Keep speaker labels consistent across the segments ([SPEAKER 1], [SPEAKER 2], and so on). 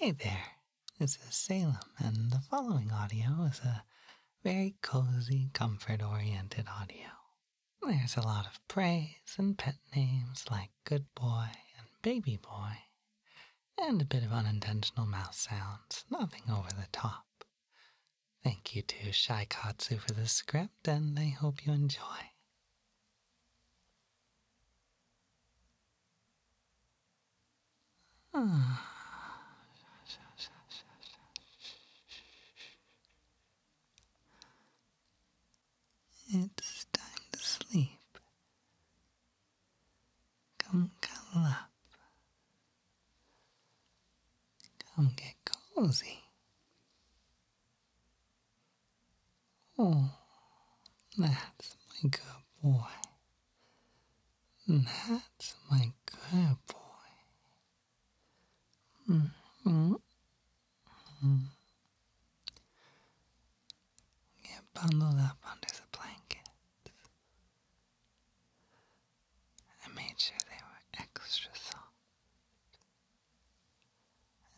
[SPEAKER 1] Hi there, this is Salem, and the following audio is a very cozy, comfort oriented audio. There's a lot of praise and pet names like Good Boy and Baby Boy, and a bit of unintentional mouth sounds, nothing over the top. Thank you to Shaikatsu for the script, and I hope you enjoy. It's time to sleep. Come cuddle up. Come get cozy. Oh, that's my good boy. That's my good boy. Mm -hmm. -hmm. Get bundled up under the blankets. I made sure they were extra soft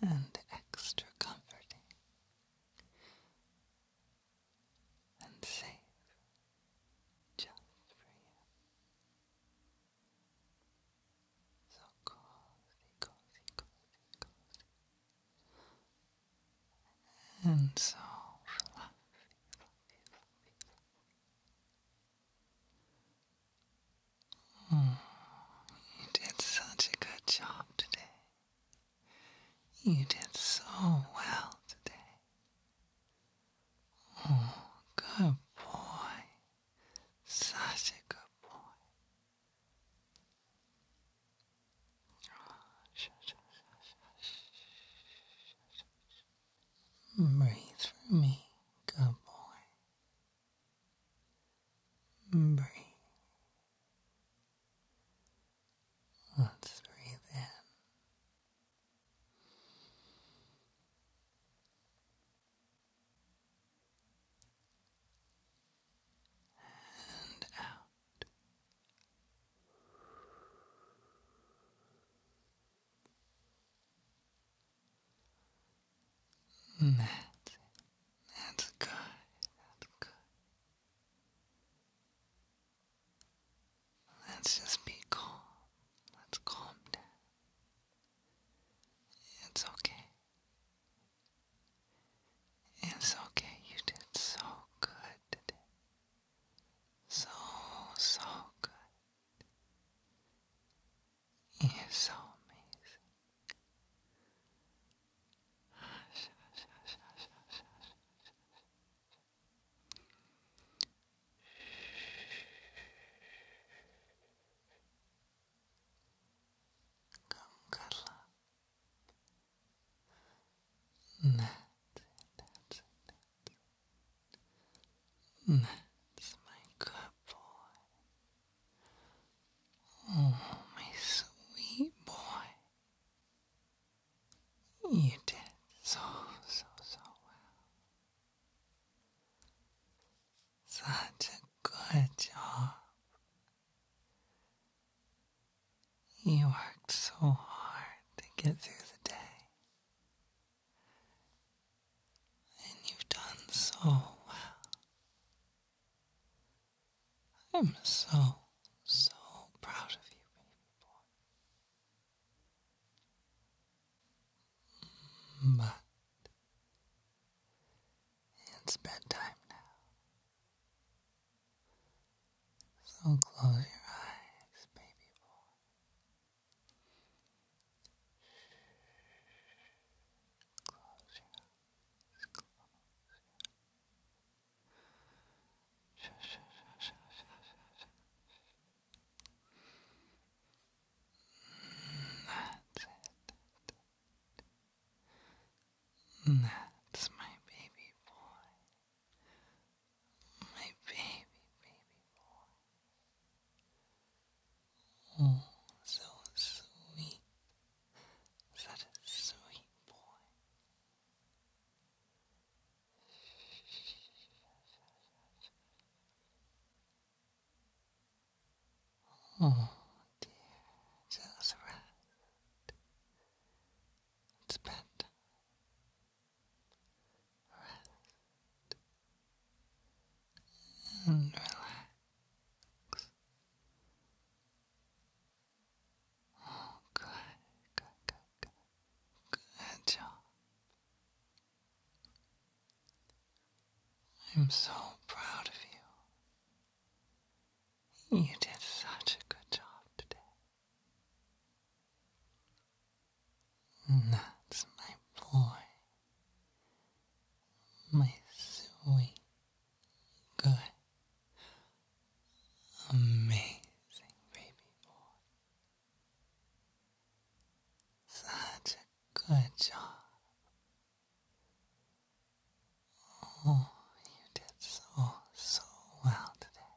[SPEAKER 1] and extra comforting and safe just for you. So cozy, cozy, cozy, cozy. And so fluffy, mm, you did such a good job today. You did so well today. Oh, good boy. Such a good boy. Breathe for me, good boy. Breathe. Let's breathe in.
[SPEAKER 2] And out. That's That's good. That's good.
[SPEAKER 1] Let's just be calm. Let's calm down. It's okay. It's okay. You did so good today. So, so good. You're so amazing. Come cuddle that's it, that's it. That's my good boy. Oh, my sweet boy. You did so, so, so well. Such a good job. You worked so hard to get through the day. And you've done so well. I'm so, so proud of you, baby boy. But it's bedtime now. So close your eyes, baby boy. Close your eyes. That's it. That's my baby boy. My baby, baby boy. Oh, so sweet. Such a sweet boy.
[SPEAKER 2] Oh dear, just rest. It's Rest and relax. Oh, good, good,
[SPEAKER 1] good, good. job. I'm so proud of you. You did such a good job today. That's my boy, my sweet Good. Amazing baby boy. Such a good job. Oh, you did so, so well today.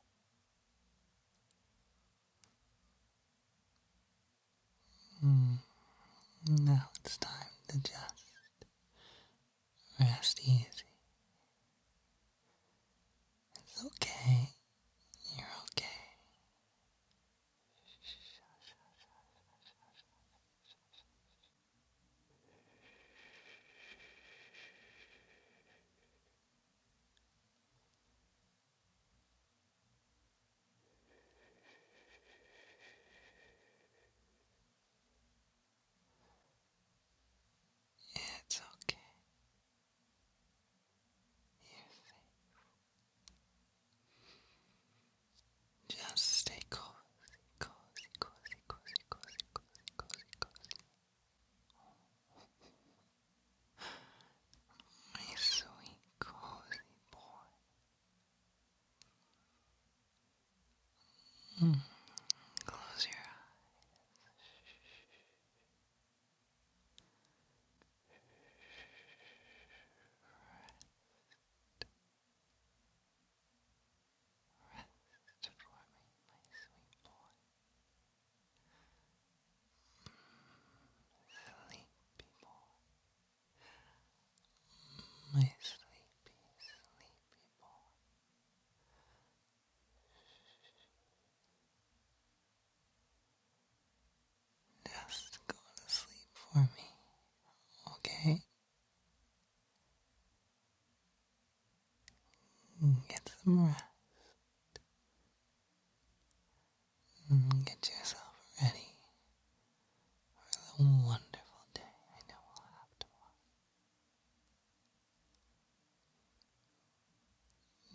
[SPEAKER 1] Mm. Now it's time to just Rest easy. It's okay. You're okay. It's okay. You're safe. Just stay cozy, cozy, cozy, cozy, cozy, cozy, cozy, cozy.
[SPEAKER 2] My sweet cozy boy. Mm. Close your eyes.
[SPEAKER 1] Rest. my sweet boy. Sleepy boy. My sleepy, sleepy boy. Just go to sleep for me, okay? Mm, get some rest. Mm, get yourself ready for the wonderful day I we'll have tomorrow.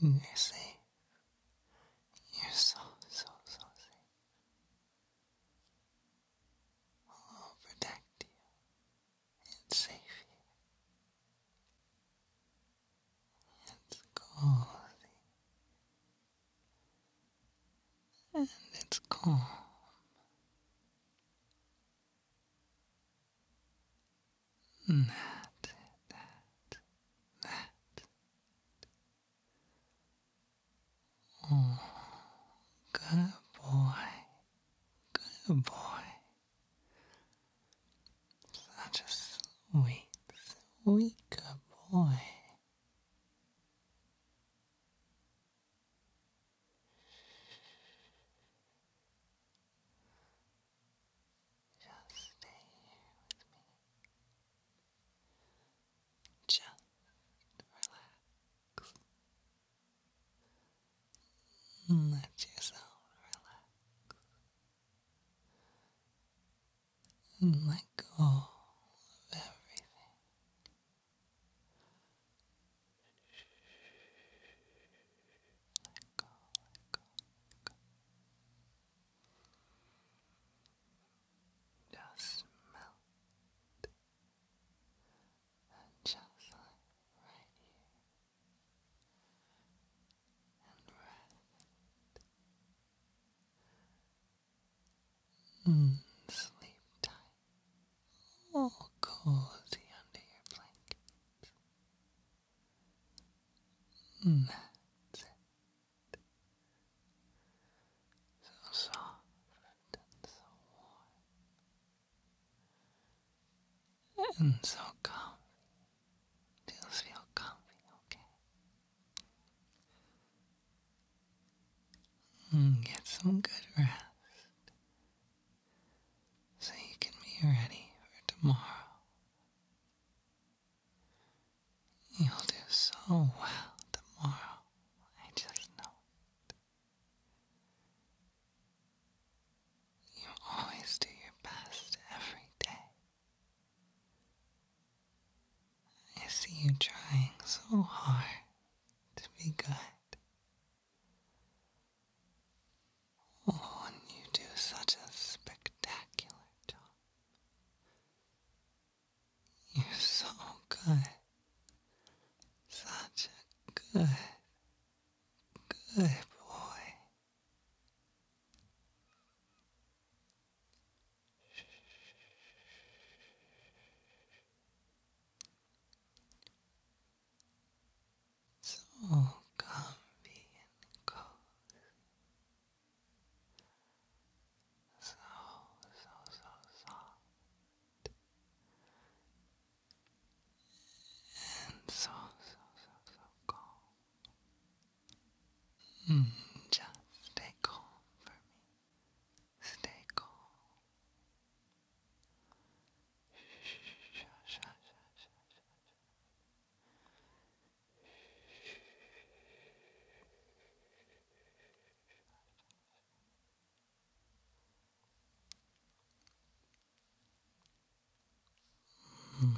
[SPEAKER 1] You see, you're so, so, so safe. I'll protect you and save you. It's cozy. And it's calm. That, that, that. Oh, good boy, good boy. Such a sweet, sweet good boy. Just stay with me. Just relax. Let yourself relax. And let go of everything let go, Just melt. And just like right here.
[SPEAKER 2] And rest. Mm. Sleep tight all oh, cozy under your blanket. Mm. So soft
[SPEAKER 1] and so warm. And so comfy. Feels feel comfy, okay? Mm, get some good rest so you can be ready for tomorrow. You'll do so well tomorrow, I just know it. You always do your best every day. I see you trying so hard to be good. Oh, you do such a spectacular job. You're so good. Such a good, good boy so comfy and cozy. So, so, so soft. And so, so, so, so calm. Mm, just stay calm for me. Stay calm.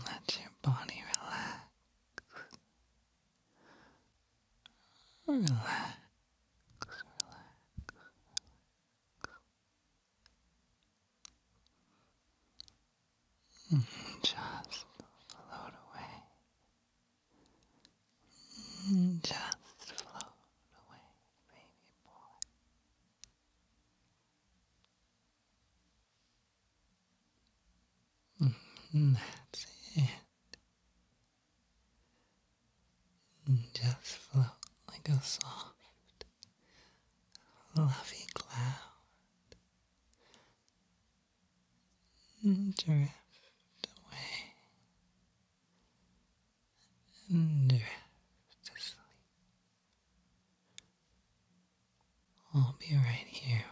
[SPEAKER 1] Let your body relax. Relax, relax, relax. Mm-hmm. Just float away. Mm-hmm. Just float away, baby boy. Mm-hmm. That's it. Mm, just float like a soft, fluffy cloud. Mm, drift away and drift to sleep. I'll be right here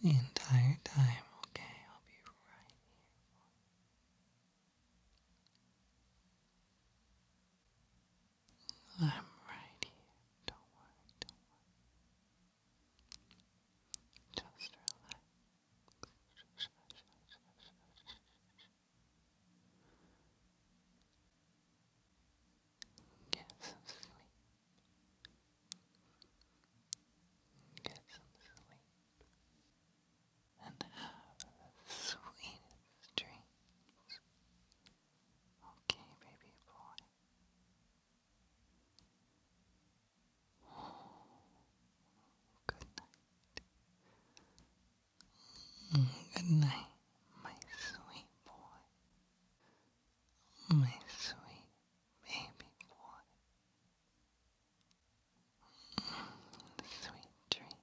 [SPEAKER 1] for you. The entire time, okay? I'll be right here for you. I'm right here. Don't worry, don't worry. Just relax. Get some sleep. Get some sleep and have the sweetest dreams. Okay, baby boy. Good night. Good night, my sweet boy. My sweet baby boy. Sweet dreams.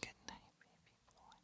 [SPEAKER 1] Good night, baby boy.